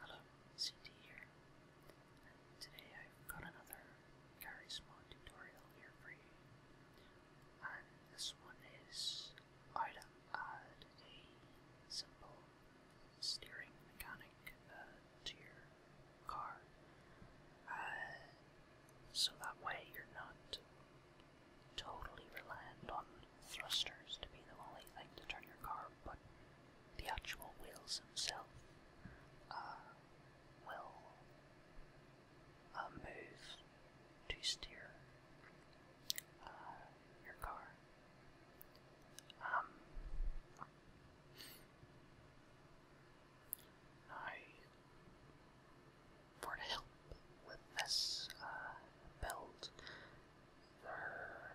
Hello, Cindy here. Today I've got another Garry's Mod tutorial here for you. And this one is how to add a simple steering mechanic uh, to your car. Uh, so that way you're not totally reliant on thrusters to be the only thing to turn your car, but the actual wheels themselves uh, will uh, move to steer uh, your car. Um, now, for the hill with this uh, build. There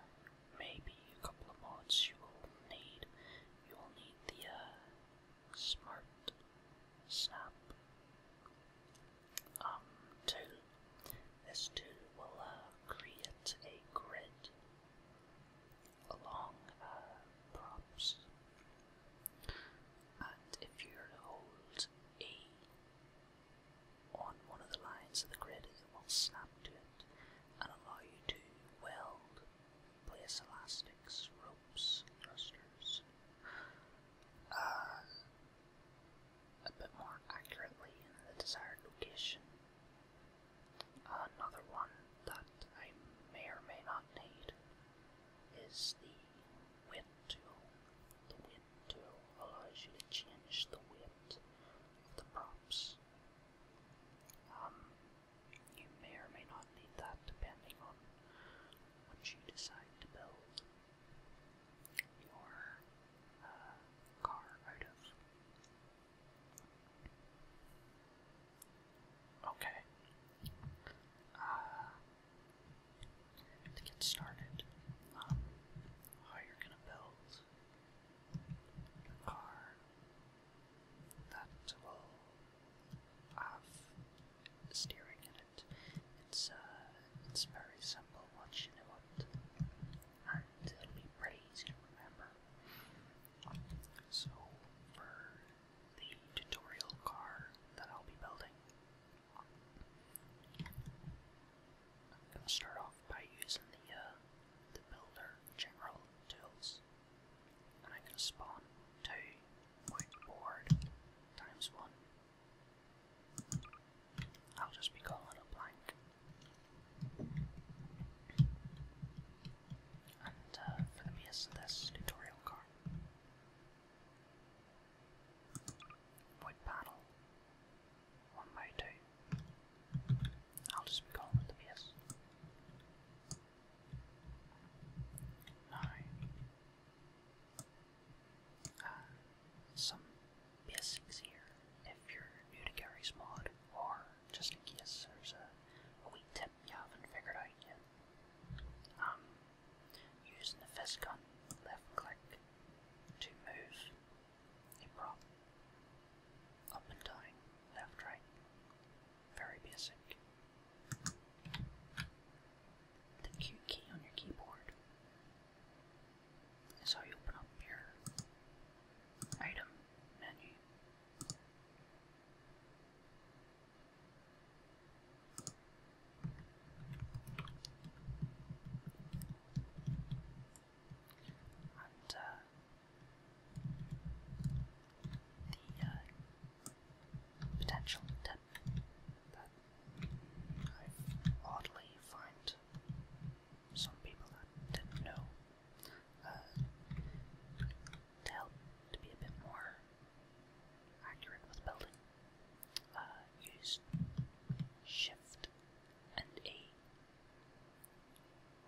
may be a couple of mods you will need. You will need the uh, Smart Snap um, tool. This tool will uh, create a grid along uh, props. And if you hold a on one of the lines of the grid, it will snap to it and allow you to weld, place elastics, ropes, thrusters, uh, a bit more accurately in the desired location. Another one that I may or may not need is the weight tool. The weight window allows you to change the width of the props. Um, you may or may not need that depending on what you decide to build your uh, car out of. Okay. Uh, to get started um, how oh, you're going to build a car that will have steering in it. It's, uh, it's very simple once you know it, and it'll be pretty easy to remember. So, for the tutorial car that I'll be building, I'm going to start off by using the, uh, the builder general tools. And I'm going to spawn two board times one. I'll just be calling it a blank. And uh, for the base of this tutorial card, wood panel, one by two. I'll just be calling it the PS. Now, uh, some basics here if you're new to Gary's mod, or just in case there's a wee tip you haven't figured out yet. Um, using the fist gun, left click to move prop Up and down, left, right. Very basic. The Q key on your keyboard is how you open up your item menu and uh, the uh, potential that I oddly find some people that didn't know uh, to help to be a bit more accurate with building. Uh, shift and A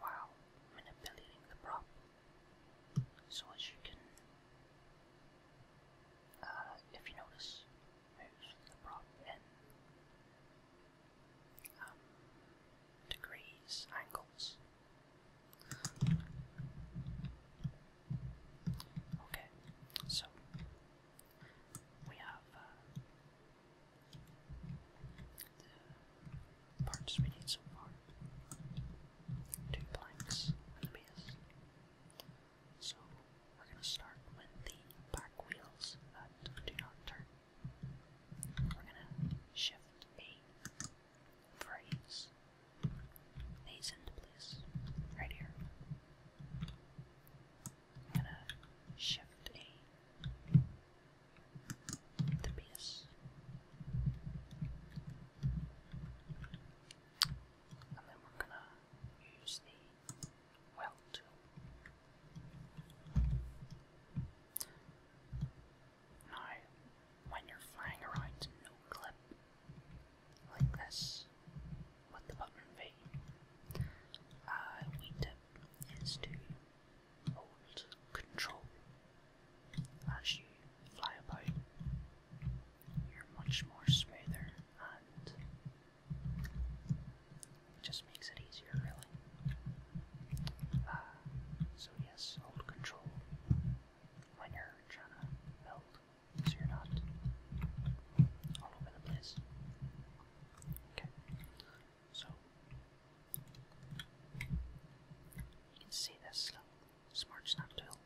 while manipulating the prop. So as you can, uh, if you notice, move the prop in um, degrees, angles. Okay, so we have uh, the parts we need so far. Two planks So we're going to start with the back wheels that do not turn. We're going to shift a phrase these into right here gonna shift A the piece. And then we're gonna use the weld tool. Now, when you're flying around no clip like this, with the button V. Uh, we tip is to hold control as you fly about. You're much more smoother and just makes it easier, really. Uh, so, yes, hold control when you're trying to build so you're not all over the place. Okay, so you can see this smart snap tool.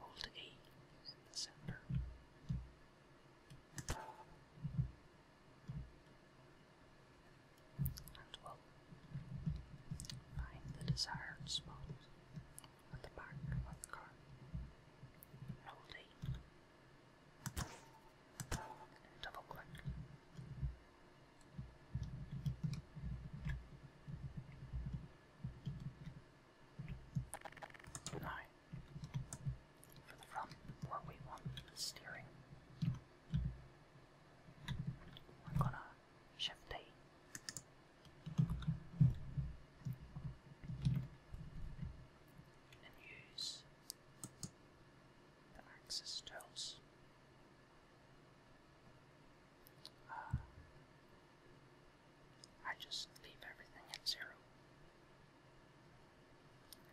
Hold E in the center. And we'll find the desired spot at the back of the card. Hold E. Double click. Now, for the front, where we want the steering, we're gonna shift D. And use the axis tells. Ah. I just leave everything at zero.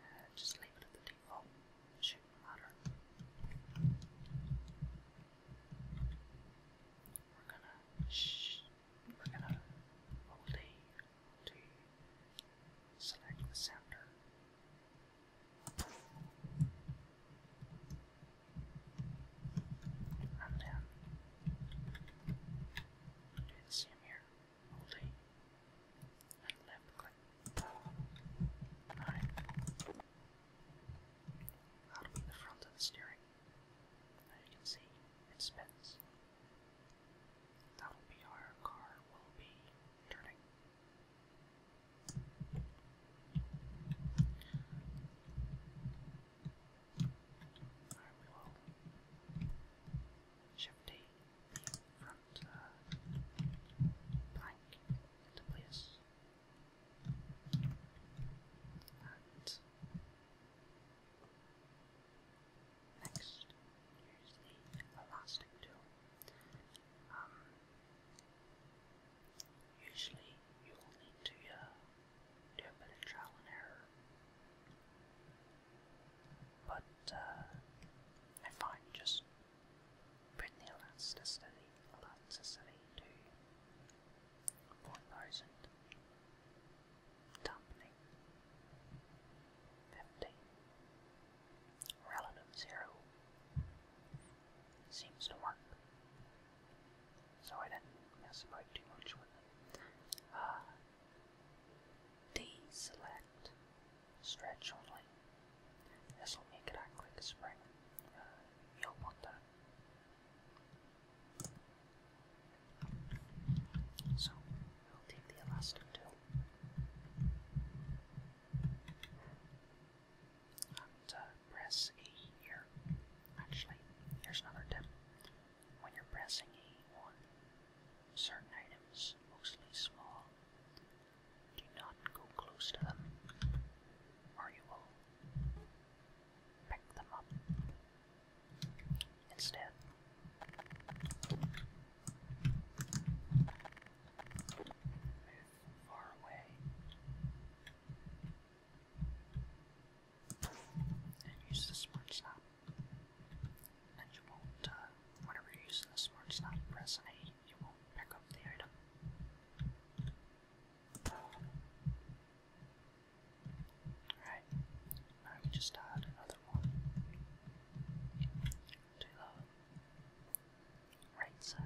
Uh, just leave it at the default. shouldn't matter. We're gonna sh we're gonna only to select the center. And then do the same here, holding and left click. Alright. That'll the front of the steering. Now you can see it spins. That'll be our car will be turning. we will shift the front uh, into place. And Next, use the elastic tool. Um, usually you will need to uh, do a bit of trial and error, but uh, I find just putting the elasticity, elasticity to 4000, dampening 50, relative zero seems to work. So I didn't mess about too much with it. Uh, deselect stretch only. This will make it act like spring. Uh, you'll want that. So I'll take the elastic too. And uh, press E here. Actually, here's another tip. When you're pressing E certain items, mostly small, do not go close to them, or you will pick them up. Instead, use the smart snap. And you won't, uh, whenever you're using the smart snap, press an you won't pick up the item. Alright, now we just add another one to the right side.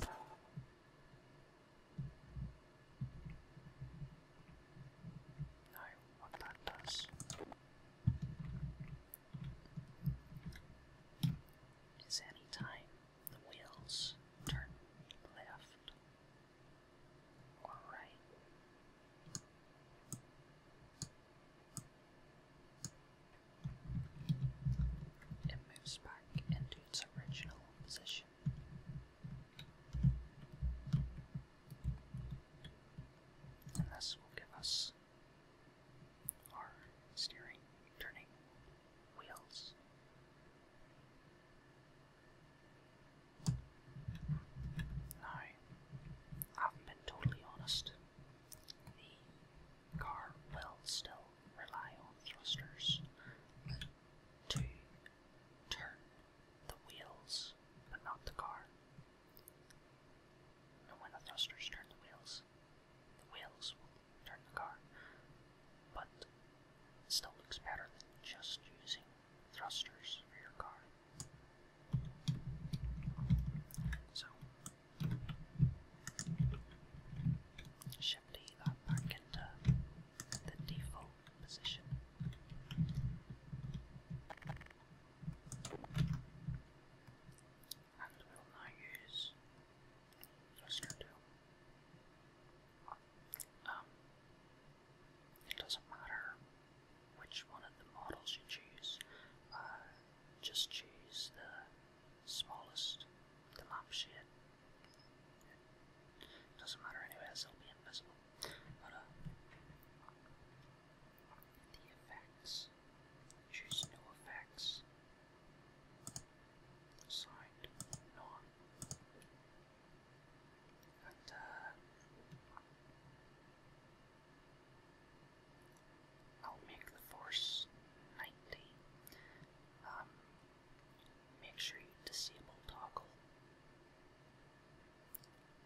Now, what that does is any time the wheels turn left or right. It moves back into its original position. And this will give us our steering, turning, wheels. Now, I've been totally honest. The car will still rely on thrusters to turn the wheels, but not the car. And when the thrusters turn the wheels, the wheels will but it still looks better than just using thrusters for your car. So, shift that back into the default position and will now use listener tool. Um, it doesn't matter which one of the models you choose, uh, just choose the smallest, the map doesn't matter anyways, it'll be invisible. But, uh, the effects, choose no effects. Signed, Norm. Got, uh, I'll make the force 90. Um, make sure you disable toggle.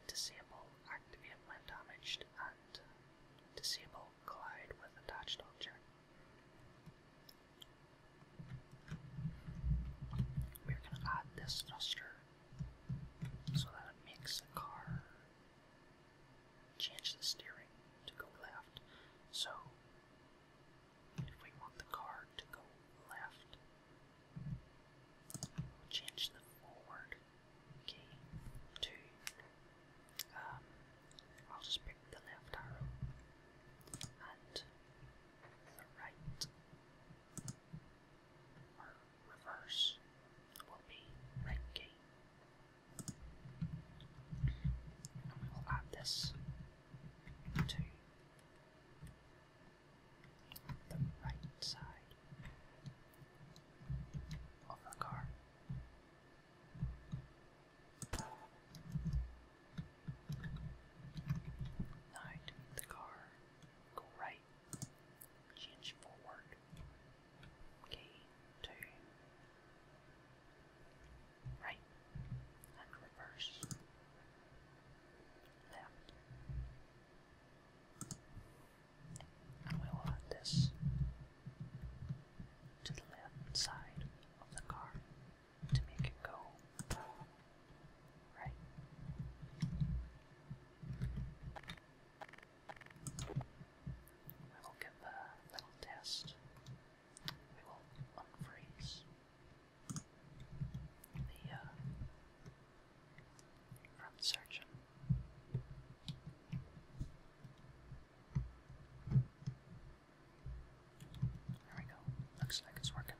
Disable activate when damaged and uh, disable collide with attached object. We're gonna add this thruster so that it makes the car change the steering to go left. So if we want the car to go left, change the forward key to um, I'll just pick the left arrow and the right or reverse will be right key. And we will add this to the right side of the car. Nine to the car. Go right. Change forward. Okay, two. Right. And reverse. Left. And we'll add this to the left side of the car to make it go right. We will give a little test. We will unfreeze the uh, front surgeon. There we go. Looks like it's working.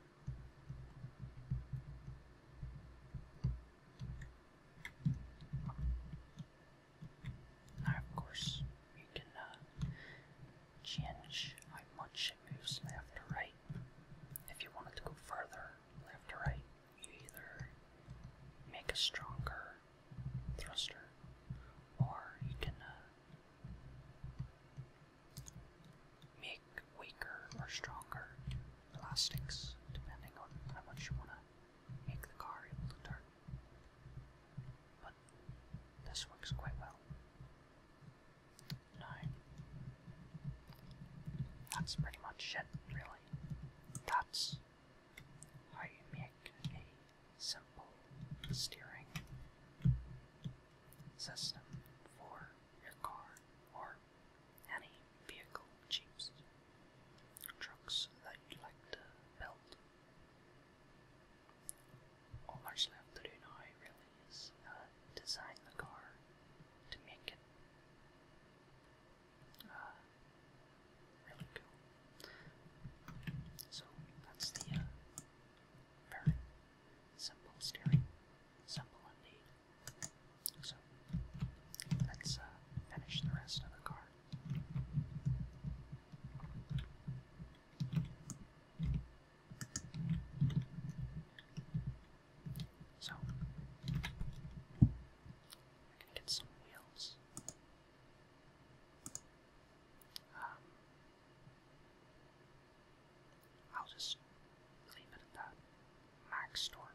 Now, of course, you can uh, change how much it moves left or right. If you wanted to go further left or right, you either make a stronger thruster or you can uh, make weaker or stronger plastics, depending on how much you want to make the car able to turn. But this works quite well. Now, that's pretty much it, really. That's how you make a simple steering system for your car or any vehicle, jeeps, trucks that you'd like to build. All that's left to do now is uh, design the car to make it uh, really cool. So that's the uh, very simple steering, simple indeed. So let's uh, finish the rest of the car. So we're gonna get some wheels. Um, I'll just leave it at that. Max torque,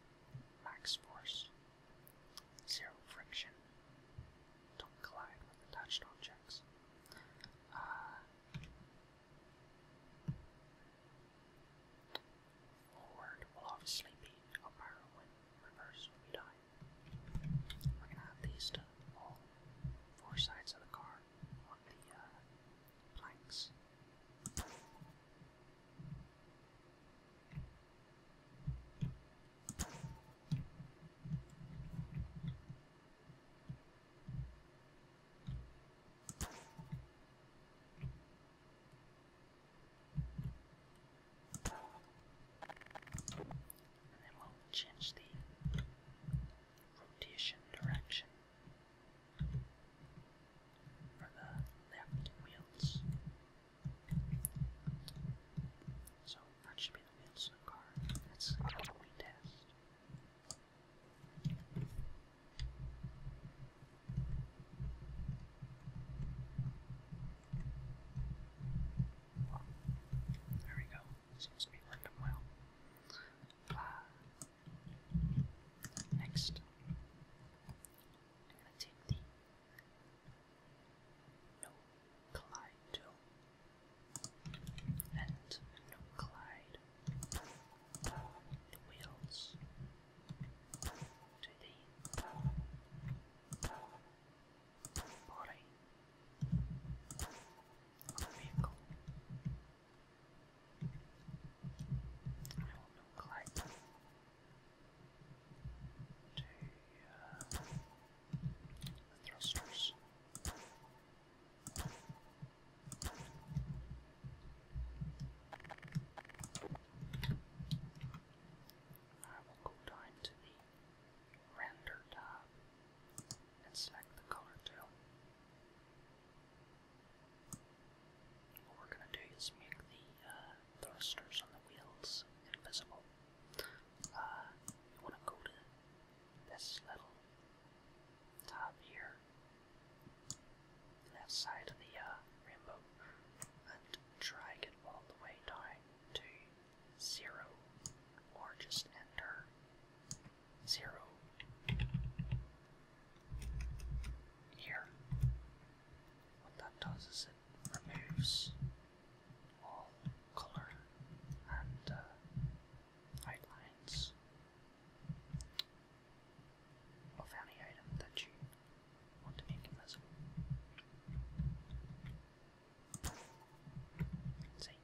max force, zero friction. Don't collide with attached objects. Uh, forward will obviously be up arrow reverse will be down. We're gonna have these to all four sides of the car on the planks. And then we'll change the rotation direction for the left wheels. So that should be the wheels of the car. That's what we test. There we go. Seems to be working well next, I'm gonna take the no collide tool to the body other vehicle. I will look like the thrusters. I will go down to the render tab and select the color too. What we're gonna do is make the uh, thrusters on the wheels invisible. Uh, you wanna go to this little tab here, left side of the uh, rainbow, and drag it all the way down to zero, or just enter zero. Here. What that does is it removes all color and outlines uh, of any item that you want to make invisible. See?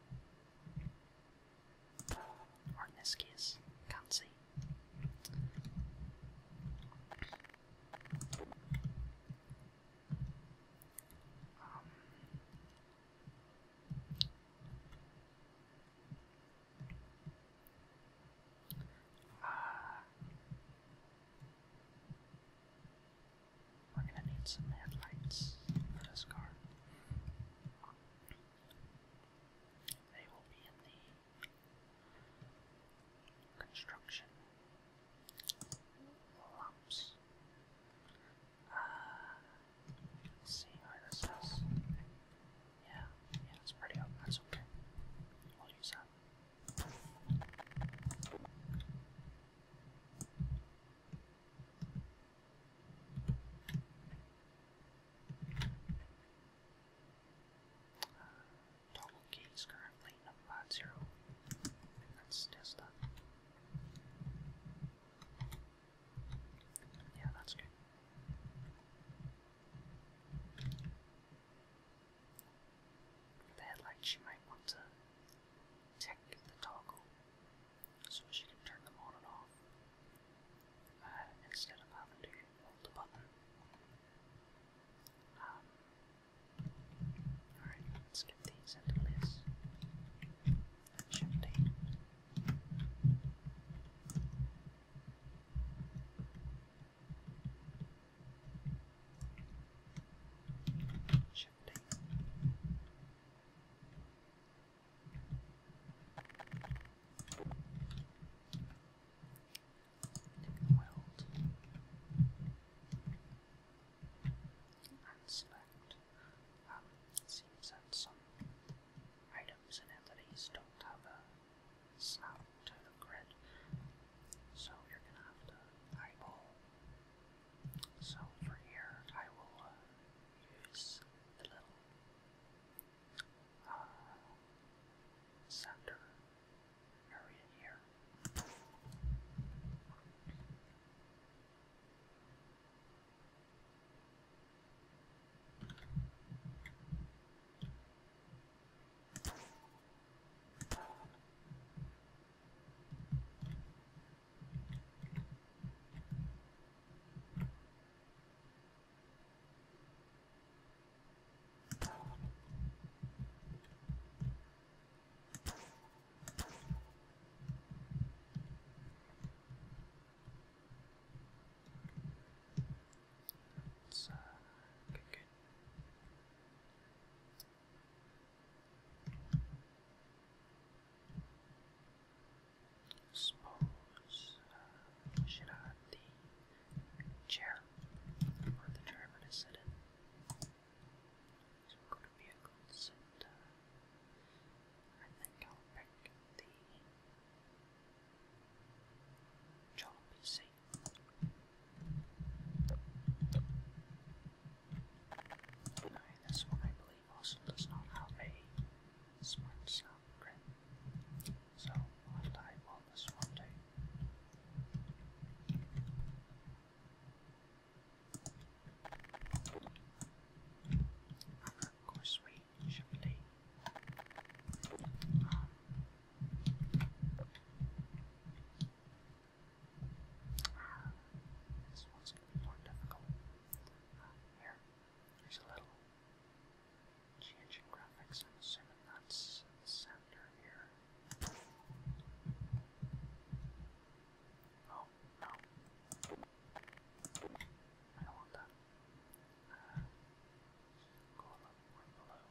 Or in this case, can't see. Um, we're gonna need some headlights for this car. They will be in the construction lumps. Uh, see where this is. Yeah, yeah, it's pretty That's okay. We'll use that. Toggle is currently on zero. Let's test Yeah, that's good. For the headlights, you might want to tick the toggle so she can turn them on and off uh, instead of having to hold the button. Um, alright, let's get these into place. Shift eight. And select. Um, it that some items in entities don't have a snap to the grid, so you're gonna have to eyeball. So for here, I will use the little uh, center area here. Let's uh, cook it. I the chair for the German is sitting. So we're going to be a good sit. I think I'll pick the Jollibee seat. Now this one I believe also does not have a smart sound grid. So I'll this one too. of course we should be um, this one's gonna be more difficult. Ah, here, there's a little change graphics. I'm assuming that's the center here. Oh, no. I want that. Uh, go a little more below.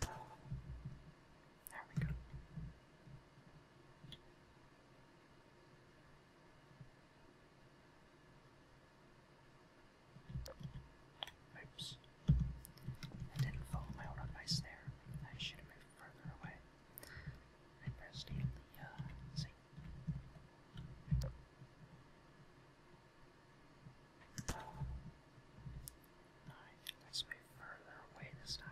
There we go. Oops. I didn't follow my own advice there. I should have moved further away. I pressed the, uh, sink. Alright, let's move further away this time.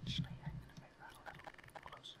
Actually, I'm going to move that a little closer.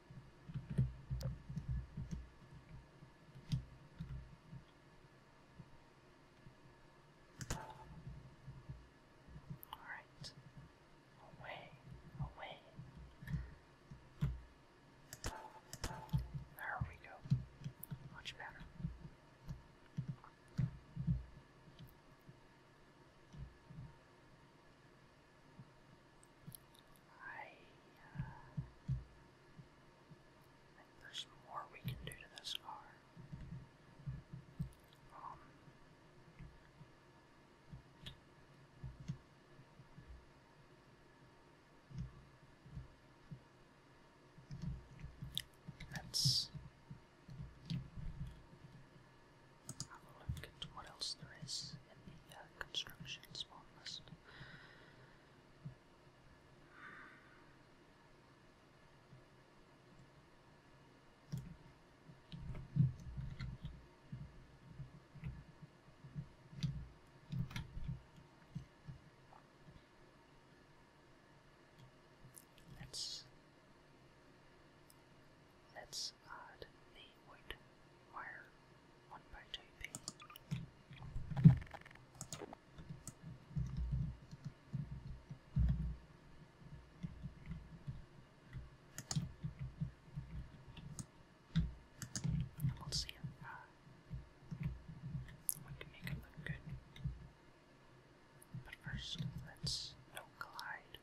All right. Away, away. There we go. Much better. I, uh, there's more we can do to this car. Let's have a look at what else there is in the uh, construction spawn list. Let's let's add the wood wire one protope. And we'll see uh, we can make it look good. But first, let's no collide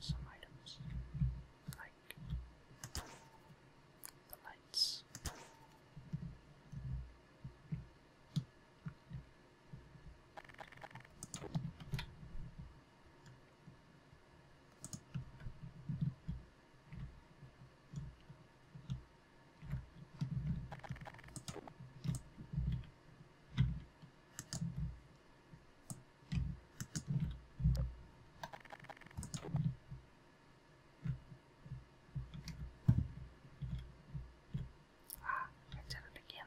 some items like the lights. Ah, I did it again.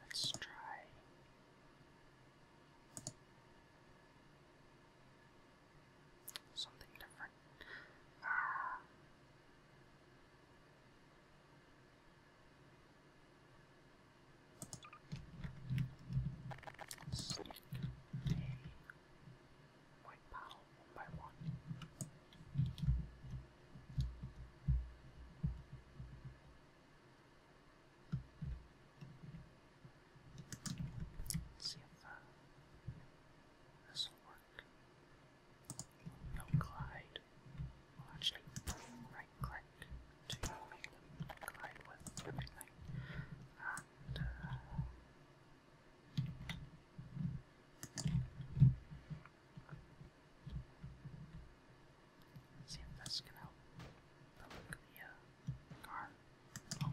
Let's try. Something different. Ah. Slick a white paddle one by one. Let's see if uh, this will work. No glide. actually, right click to make them glide with everything. And, uh, see if this can help the uh, car. Oh.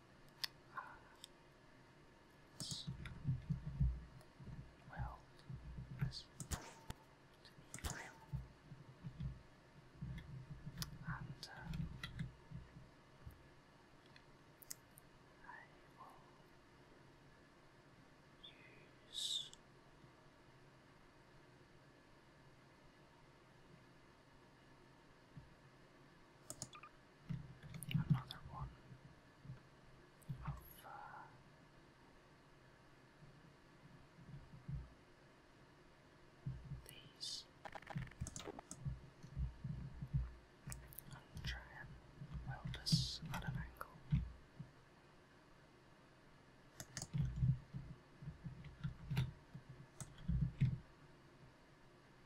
Uh, well, this to be And I will use another one of uh, these try and weld us at an angle.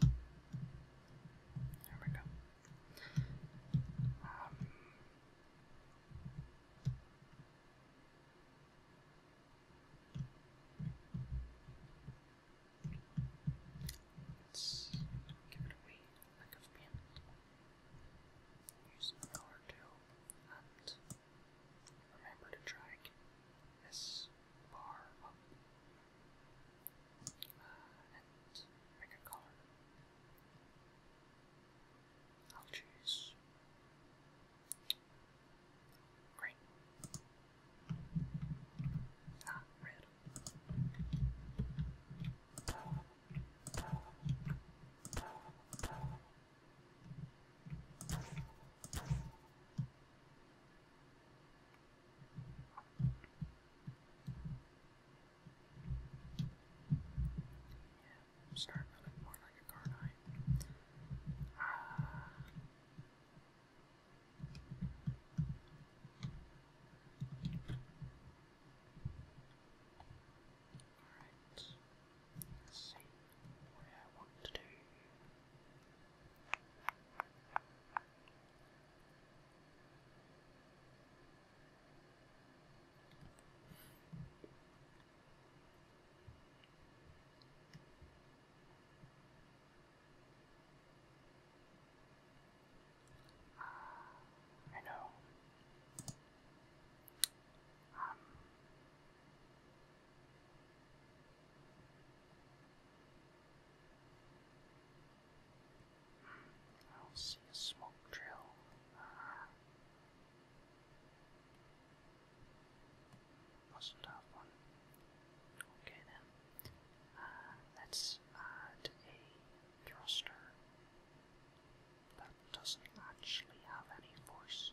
There we go. Um, let's give a wee lick of Use the color tool and remember to drag this bar up uh, and pick a color. I'll choose green. Ah, red. Yeah, I'm starting to look more like a Garnite. Ah. let's see what I want to do. I know. Um, I will see a smoke trail. Uh, that's a one. Okay then. Uh, let's add a thruster that doesn't actually have any force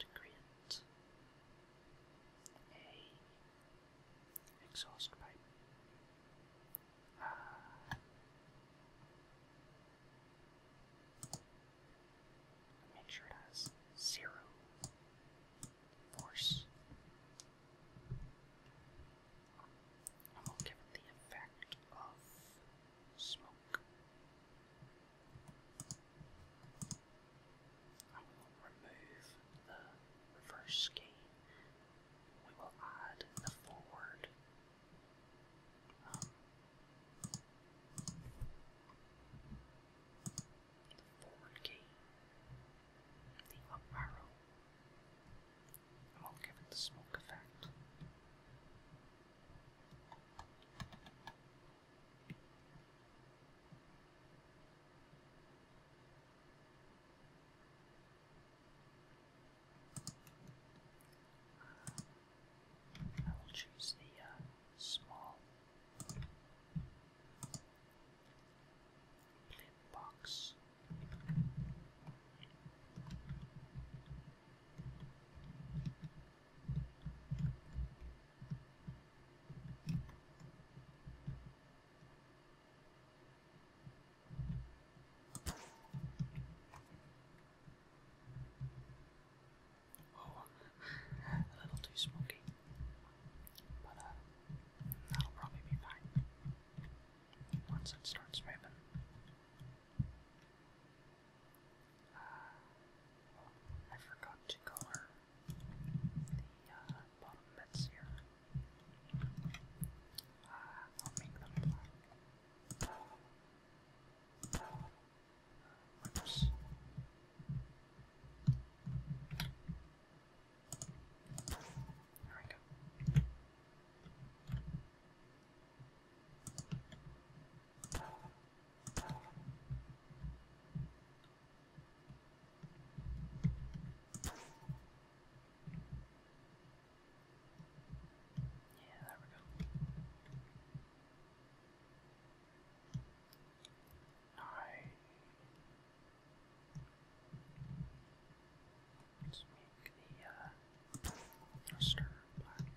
to a exhaust pipe. Make sure it has zero force. And will give it the effect of smoke. And will remove the reverse key we will add the forward. Um, the forward key, the up arrow, and we'll give it the smoke effect. I will choose the uh, small blip box. Oh, a little too smoky, but uh, that'll probably be fine once it starts moving. Uh, I forgot to color the uh, bottom bits here. Uh, I'll make them black. Oops. There we go. Okay. Yeah, there we go. Alright. Let's make the uh, thruster black.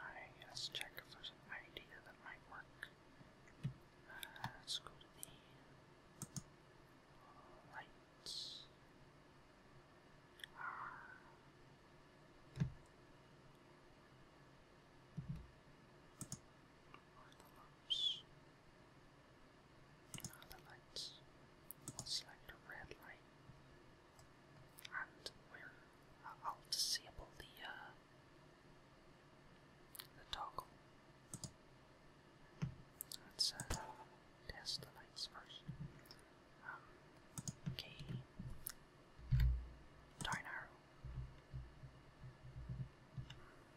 Alright, let's check if there's idea that might work let's go to the lights. Uh, the lamps. the lights. I'll select a red light. And I'll disable the uh, the toggle Let's uh, test the lights first. Um, okay. Darn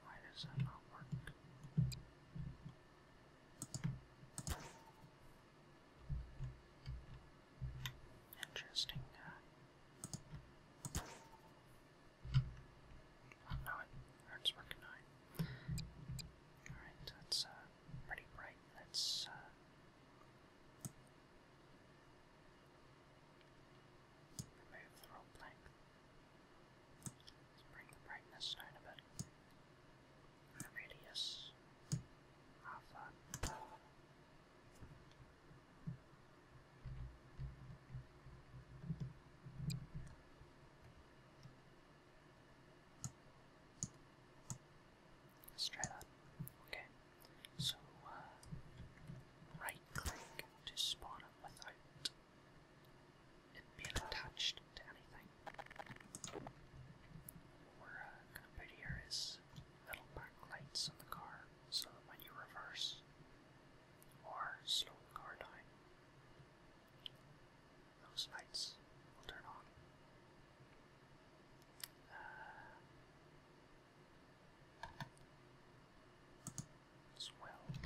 Why does that not work? Interesting. Uh, Oh no, it working nine. Alright, that's uh, pretty bright. That's uh, remove the rope plank. Let's bring the brightness down a bit. Radius. Alpha. Let's try that. Okay. So, uh, right click to spawn it without it being attached to anything. we're gonna put here is little backlights on the car so that when you reverse or slow car down, those lights will turn on. as uh, well.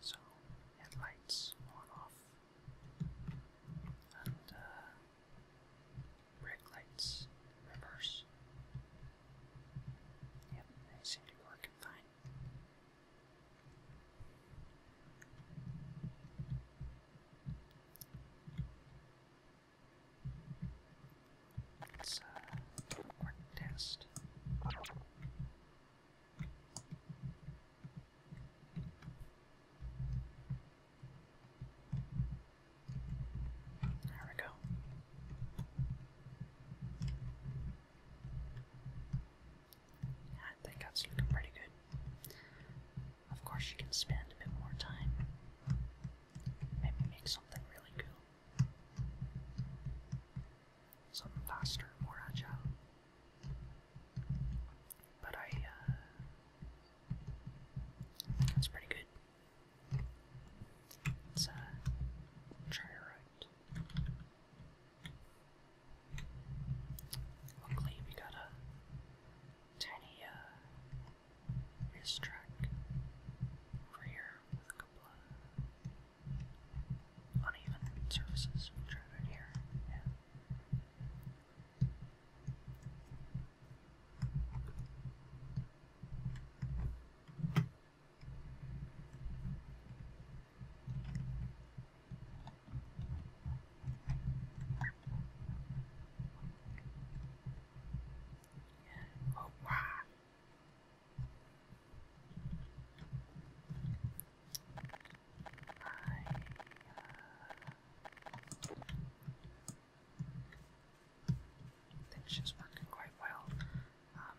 So, headlights on off, and uh, brake lights reverse. Yep, they to be working fine. It's a quick test. There we go. I think that's looking pretty good. Of course, you can spend a bit more time. Maybe make something really cool. Something faster, more agile. But I, uh, that's pretty good. Let's, uh, try it right. Luckily, we got a tiny, uh, track over here uneven surfaces, which are right here. Yeah. Oh, wow. Uh, I think she's working quite well. Um,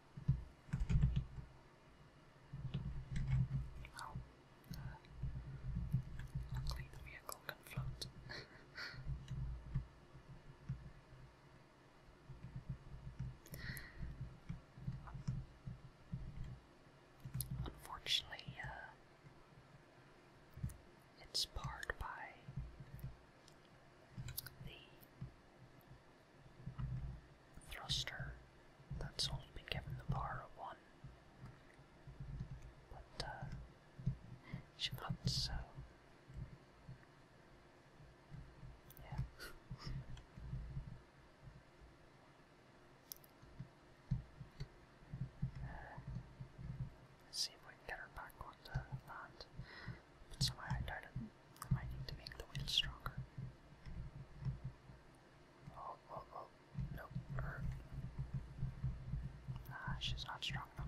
luckily the vehicle can float. Unfortunately, uh, it's barred by the thruster that's only been given the power of one. But uh, she puts so yeah. Uh, let's see if we can get her back on land. But somehow I doubt it. I need to make the wheel stronger. Oh, oh, oh, nope, her. Ah, she's not strong enough.